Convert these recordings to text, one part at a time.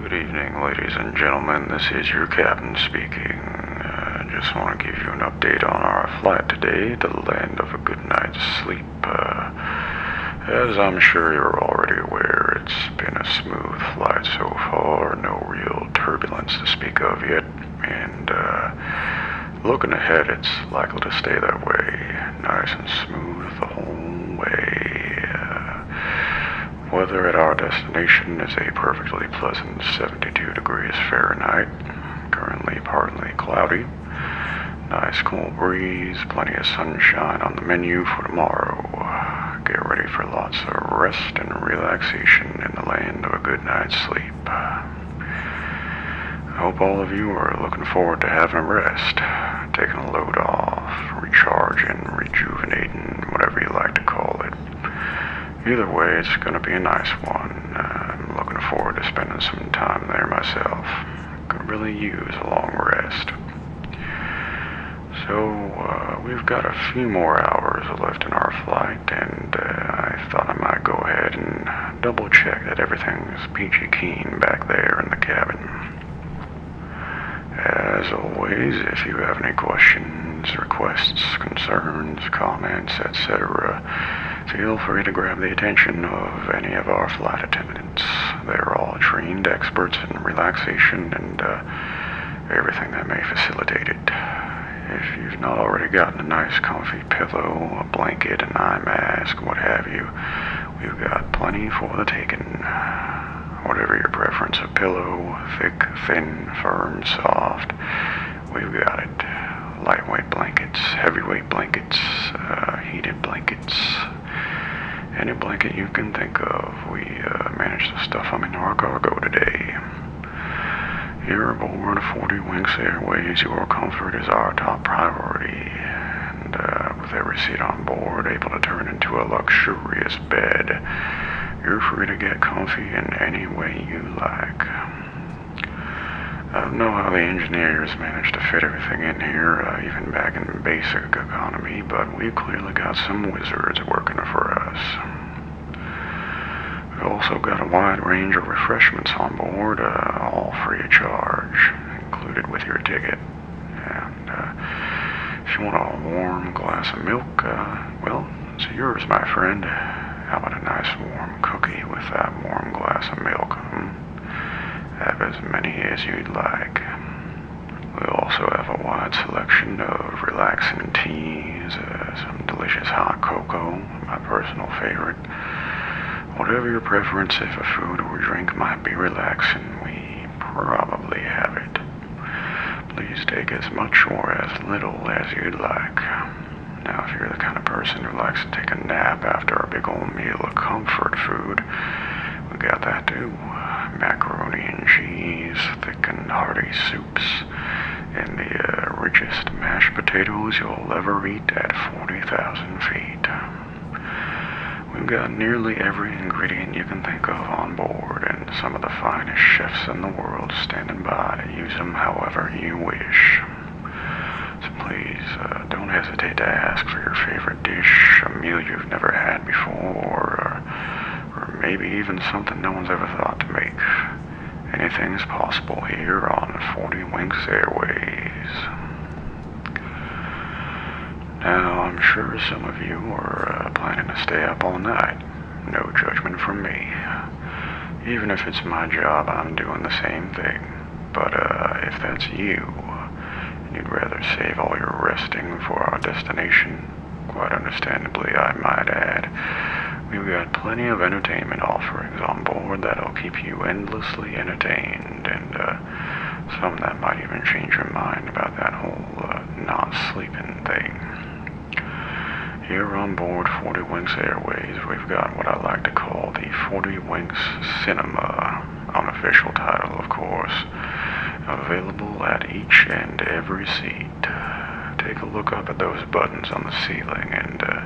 Good evening, ladies and gentlemen. This is your captain speaking. I uh, just want to give you an update on our flight today the land of a good night's sleep. Uh, as I'm sure you're already aware, it's been a smooth flight so far, no real turbulence to speak of yet and uh, looking ahead, it's likely to stay that way, nice and smooth the whole way. Uh, weather at our destination is a perfectly pleasant 72 degrees Fahrenheit, currently partly cloudy. Nice cool breeze, plenty of sunshine on the menu for tomorrow. Get ready for lots of rest and relaxation in the land of a good night's sleep. I hope all of you are looking forward to having a rest, taking a load off, recharging, rejuvenating, whatever you like to call it. Either way, it's going to be a nice one. I'm looking forward to spending some time there myself. Could really use a long rest. So, uh, we've got a few more hours left in our flight, and uh, I thought I might go ahead and double check that everything's peachy keen back there in the cabin. As always, if you have any questions, requests, concerns, comments, etc., feel free to grab the attention of any of our flight attendants. They're all trained experts in relaxation and uh, everything that may facilitate it. If you've not already gotten a nice, comfy, a pillow, a blanket, an eye mask, what have you. We've got plenty for the taking. Whatever your preference a pillow, thick, thin, firm, soft, we've got it. Lightweight blankets, heavyweight blankets, uh, heated blankets, any blanket you can think of. We uh, manage managed to stuff them into our cargo today. You're aboard a 40 Winks Airways, your comfort is our top priority. And uh, with every seat on board able to turn into a luxurious bed, you're free to get comfy in any way you like. I don't know how the engineers managed to fit everything in here, uh, even back in basic economy, but we've clearly got some wizards working for us. We've also got a wide range of refreshments on board, uh, all free of charge, included with your ticket. And uh, if you want a warm glass of milk, uh, well, it's yours, my friend. How about a nice warm cookie with that warm glass of milk? Hmm? Have as many as you'd like. We also have a wide selection of relaxing teas, some delicious hot cocoa, my personal favorite, Whatever your preference, if a food or drink might be relaxing, we probably have it. Please take as much or as little as you'd like. Now, if you're the kind of person who likes to take a nap after a big old meal of comfort food, we got that too. Macaroni and cheese, thick and hearty soups, and the uh, richest mashed potatoes you'll ever eat at 40,000 feet. We've got nearly every ingredient you can think of on board, and some of the finest chefs in the world standing by to use them however you wish. So please uh, don't hesitate to ask for your favorite dish, a meal you've never had before, or maybe even something no one's ever thought to make. Anything is possible here on 40 Wings Airways. Now, I'm sure some of you are uh, planning to stay up all night. No judgment from me. Even if it's my job, I'm doing the same thing. But uh, if that's you, you'd rather save all your resting for our destination, quite understandably, I might add, We've got plenty of entertainment offerings on board that'll keep you endlessly entertained, and uh, some that might even change your mind about that whole uh, not sleeping thing. Here on board 40 Wings Airways, we've got what I like to call the 40 Wings Cinema, unofficial title, of course, available at each and every seat. Take a look up at those buttons on the ceiling and uh,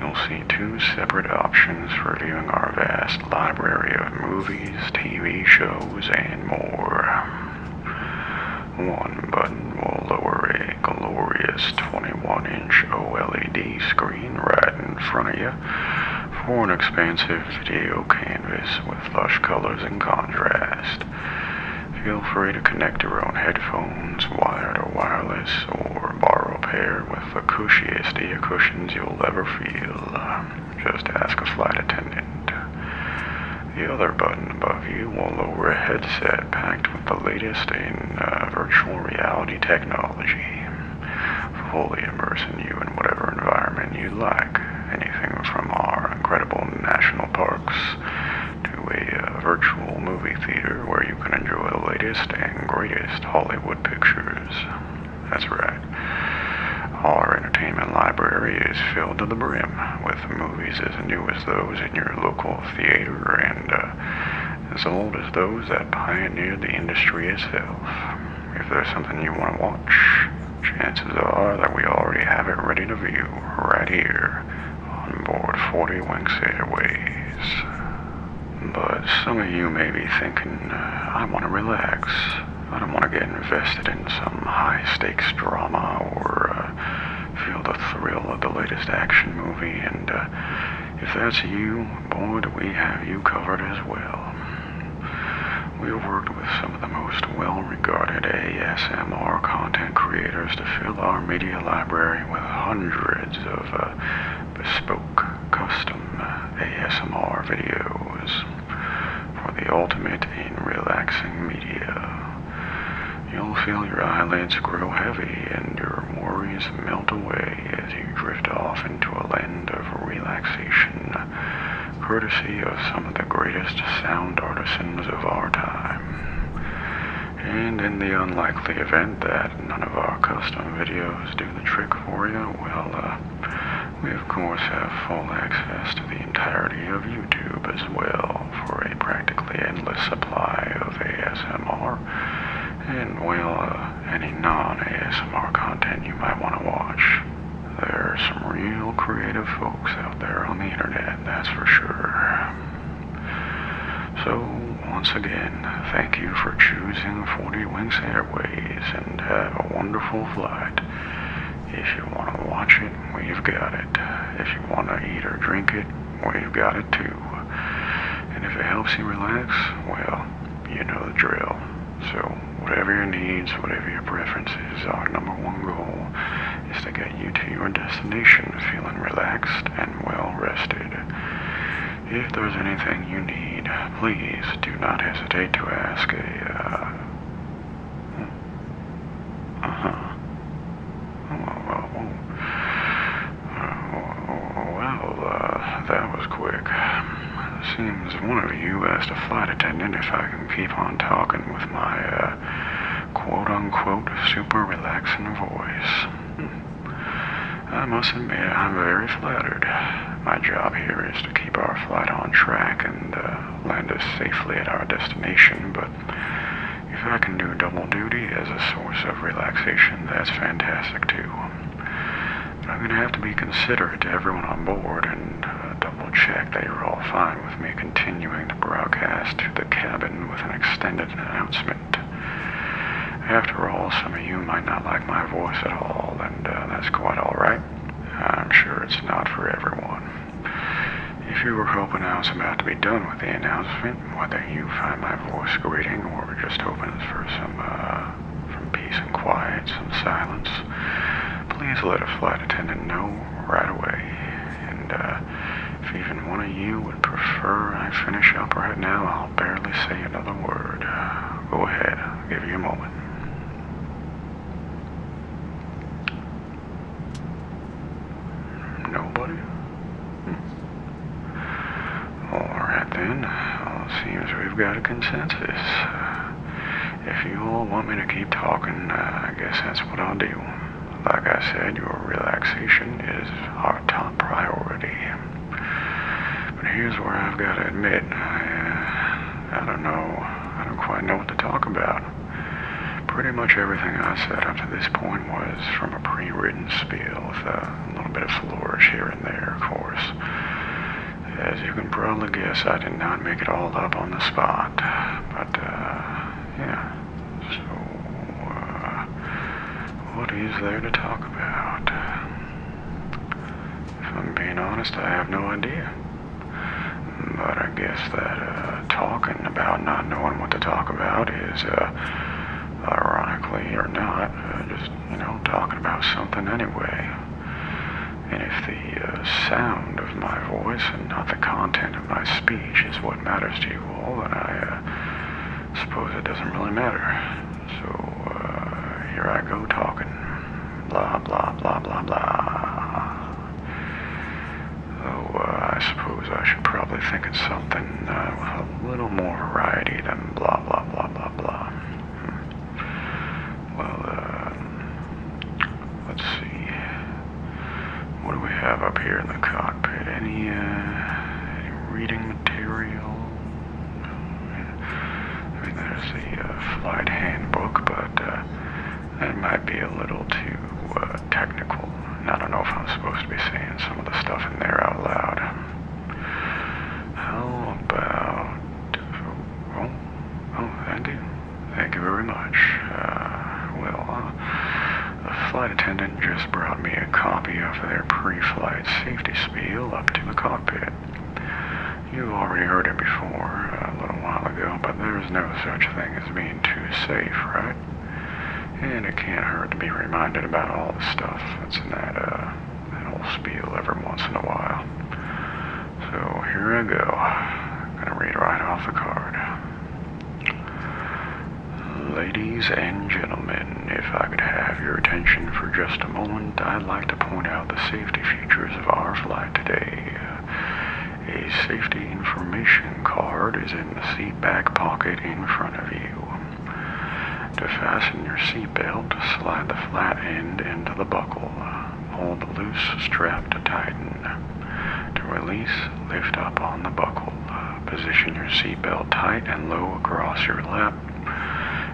you'll see two separate options for viewing our vast library of movies, TV shows, and more. One button will lower a glorious 21 inch OLED screen right in front of you for an expansive video canvas with lush colors and contrast. Feel free to connect your own headphones, wired or wireless, or borrow a pair with the cushiest ear cushions you'll ever feel. Just ask a flight attendant. The other button above you will lower a headset packed with the latest in uh, virtual reality technology, fully immersing you in whatever environment you like. Anything from our incredible national parks to a uh, virtual movie theater where you can enjoy the latest and greatest Hollywood pictures. That's right. Our entertainment library is filled to the brim with movies as new as those in your local theater and uh, as old as those that pioneered the industry itself. If there's something you want to watch, chances are that we already have it ready to view right here on board 40 Winks Airways. But some of you may be thinking, uh, I want to relax. I don't want to get invested in some high stakes drama or uh, feel the thrill of the latest action movie. And uh, if that's you, boy, we have you covered as well. We have worked with some of the most well regarded ASMR content creators to fill our media library with hundreds of uh, bespoke custom uh, ASMR videos for the ultimate in relaxing media. You'll feel your eyelids grow heavy and your worries melt away as you drift off into a land of relaxation, courtesy of some of the greatest sound artisans of our time. And in the unlikely event that none of our custom videos do the trick for you, well, uh, we of course have full access to the entirety of YouTube as well for a practically endless supply of ASMR and, well, uh, any non-ASMR content you might want to watch. There are some real creative folks out there on the internet, that's for sure. So, once again, thank you for choosing 40 Wings Airways and have a wonderful flight. If you want to watch it, we've got it. If you want to eat or drink it, we've got it too. And if it helps you relax, well, you know the drill. So, whatever your needs, whatever your preferences, our number one goal is to get you to your destination feeling relaxed and well rested. If there's anything you need, please do not hesitate to ask a, uh, hmm. uh-huh. oh, uh, oh, uh that was quick. Seems one of you asked a flight attendant if I can keep on talking with my, uh, quote unquote super relaxing voice. Hmm. I must admit, I'm very flattered. My job here is to keep our flight on track and uh, land us safely at our destination, but if I can do double duty as a source of relaxation, that's fantastic too. I'm going to have to be considerate to everyone on board and uh, double check that you are all fine with me continuing the broadcast to the cabin with an extended announcement. After all, some of you might not like my voice at all, and uh, that's quite alright. I'm sure it's not for everyone. If you were hoping I was about to be done with the announcement, whether you find my voice grating or just hoping for some, uh, peace and quiet, some silence, please let a flight attendant know right away. And uh, if even one of you would prefer I finish up right now, I'll barely say another word. Uh, go ahead, I'll give you a moment. Nobody? Hmm. Alright then, well, it seems we've got a consensus. If you all want me to keep talking, uh, I guess that's what I'll do. Like I said, your relaxation is our top priority. But here's where I've got to admit, uh, I, don't know, I don't quite know what to talk about. Pretty much everything I said up to this point was from a pre-written spiel with a little bit of flourish here and there, of course. As you can probably guess, I did not make it all up on the spot, but, uh, yeah. So, uh, what is there to talk about? If I'm being honest, I have no idea. But I guess that uh, talking about not knowing what to talk about is, uh, ironically or not, just, you know, talking about something anyway. And if the sound of my voice and not the content of my speech image is what matters to you all, and I uh, suppose it doesn't really matter. So uh, here I go talking. Blah, blah, blah, blah, blah. Though uh, I suppose I should probably think of something uh, with a little more variety than blah, blah, blah, blah, blah. Hmm. Well, uh, let's see. What do we have up here in the cockpit? Any, uh, reading material? I mean, there's the uh, flight handbook, but uh, that might be a little too uh, technical. I don't know if I'm supposed to be saying some of the stuff in there out loud. How about... Oh, oh thank you. Thank you very much. well, the flight attendant just brought me a copy of their pre-flight safety spiel up to the cockpit. You've already heard it before, a little while ago, but there's no such thing as being too safe, right? And it can't hurt to be reminded about all the stuff that's in that, uh, that whole spiel every once in a while. So here I go. I'm gonna read right off the card. Ladies and gentlemen, if I could have your attention for just a moment, I'd like to point out the safety features of our flight today. A safety information card is in the seat back pocket in front of you. To fasten your seat belt, slide the flat end into the buckle. Hold the loose strap to tighten. To release, lift up on the buckle. Position your seatbelt tight and low across your lap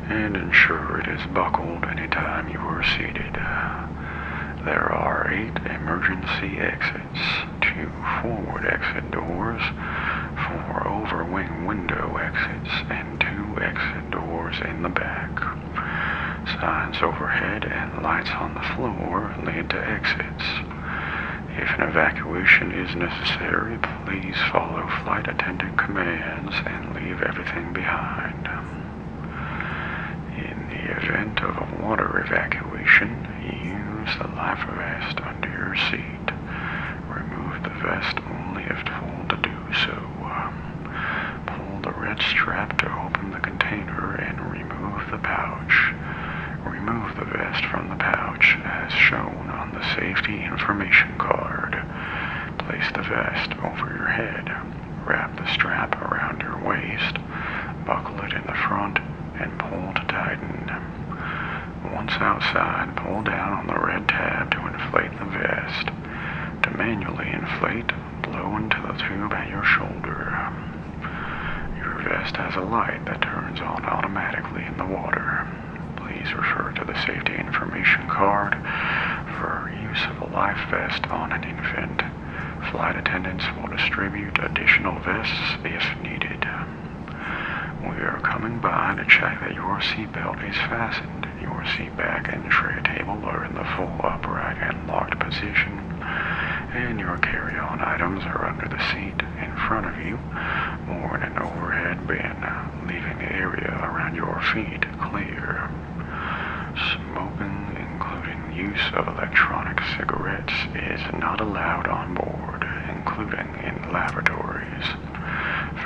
and ensure it is buckled anytime you are seated. There are eight emergency exits, two forward exit doors, four overwing window exits, and two exit doors in the back. Signs overhead and lights on the floor lead to exits. If an evacuation is necessary, please follow flight attendant commands and leave everything behind. In the event of a water evacuation, use the life vest under your seat. Remove the vest only if told to do so. Pull the red strap to open the container and remove Remove the pouch. Remove the vest from the pouch as shown on the safety information card. Place the vest over your head. Wrap the strap around your waist. Buckle it in the front and pull to tighten. Once outside, pull down on the red tab to inflate the vest. To manually inflate, blow into the tube at your shoulder. Your vest has a light that turns on automatically in the water. Please refer to the safety information card for use of a life vest on an infant. Flight attendants will distribute additional vests if needed. We are coming by to check that your seatbelt is fastened. Your seat back and tray table are in the full upright and locked position and your carry-on items are under the seat in front of you or in an overhead bin, uh, leaving the area around your feet clear. Smoking, including use of electronic cigarettes, is not allowed on board, including in laboratories.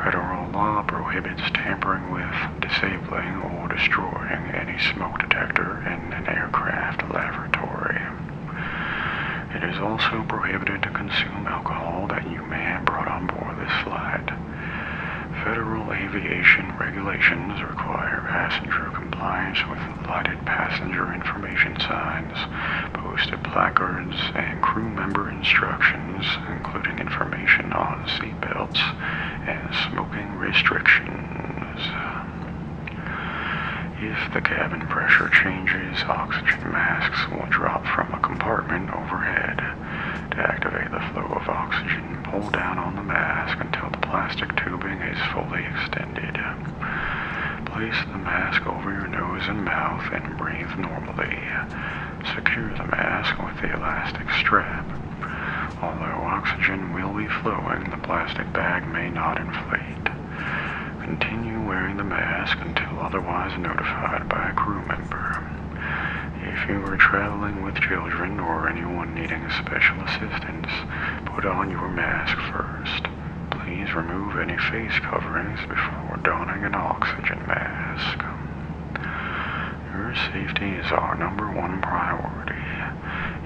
Federal law prohibits tampering with, disabling, or destroying any smoke detector in an aircraft laboratory. It is also prohibited to consume alcohol that you may have brought on board this flight. Federal aviation regulations require passenger compliance with lighted passenger information signs, posted placards, and crew member instructions, including information on seatbelts and smoking restrictions. If the cabin pressure changes, oxygen masks will drop from a compartment overhead. To activate the flow of oxygen, pull down on the mask until the plastic tubing is fully extended. Place the mask over your nose and mouth and breathe normally. Secure the mask with the elastic strap. Although oxygen will be flowing, the plastic bag may not inflate. Continue wearing the mask until otherwise notified by a crew member. If you are traveling with children or anyone needing special assistance, put on your mask first. Please remove any face coverings before donning an oxygen mask. Your safety is our number one priority.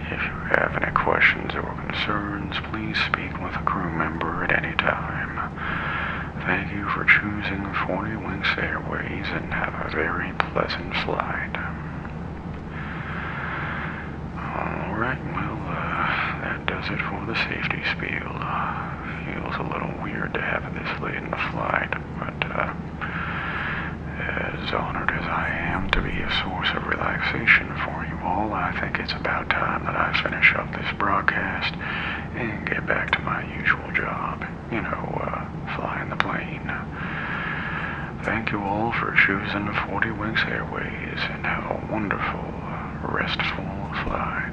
If you have any questions or concerns, please speak with a crew member at any time. Thank you for choosing 40 Wings Airways and have a very pleasant flight. Alright, well, uh, that does it for the safety spiel. Feels a little weird to have this late in the flight, but, uh, as honored as I am to be a source of relaxation for all. I think it's about time that I finish up this broadcast and get back to my usual job. You know, uh, flying the plane. Thank you all for choosing 40 Wings Airways and have a wonderful, restful flight.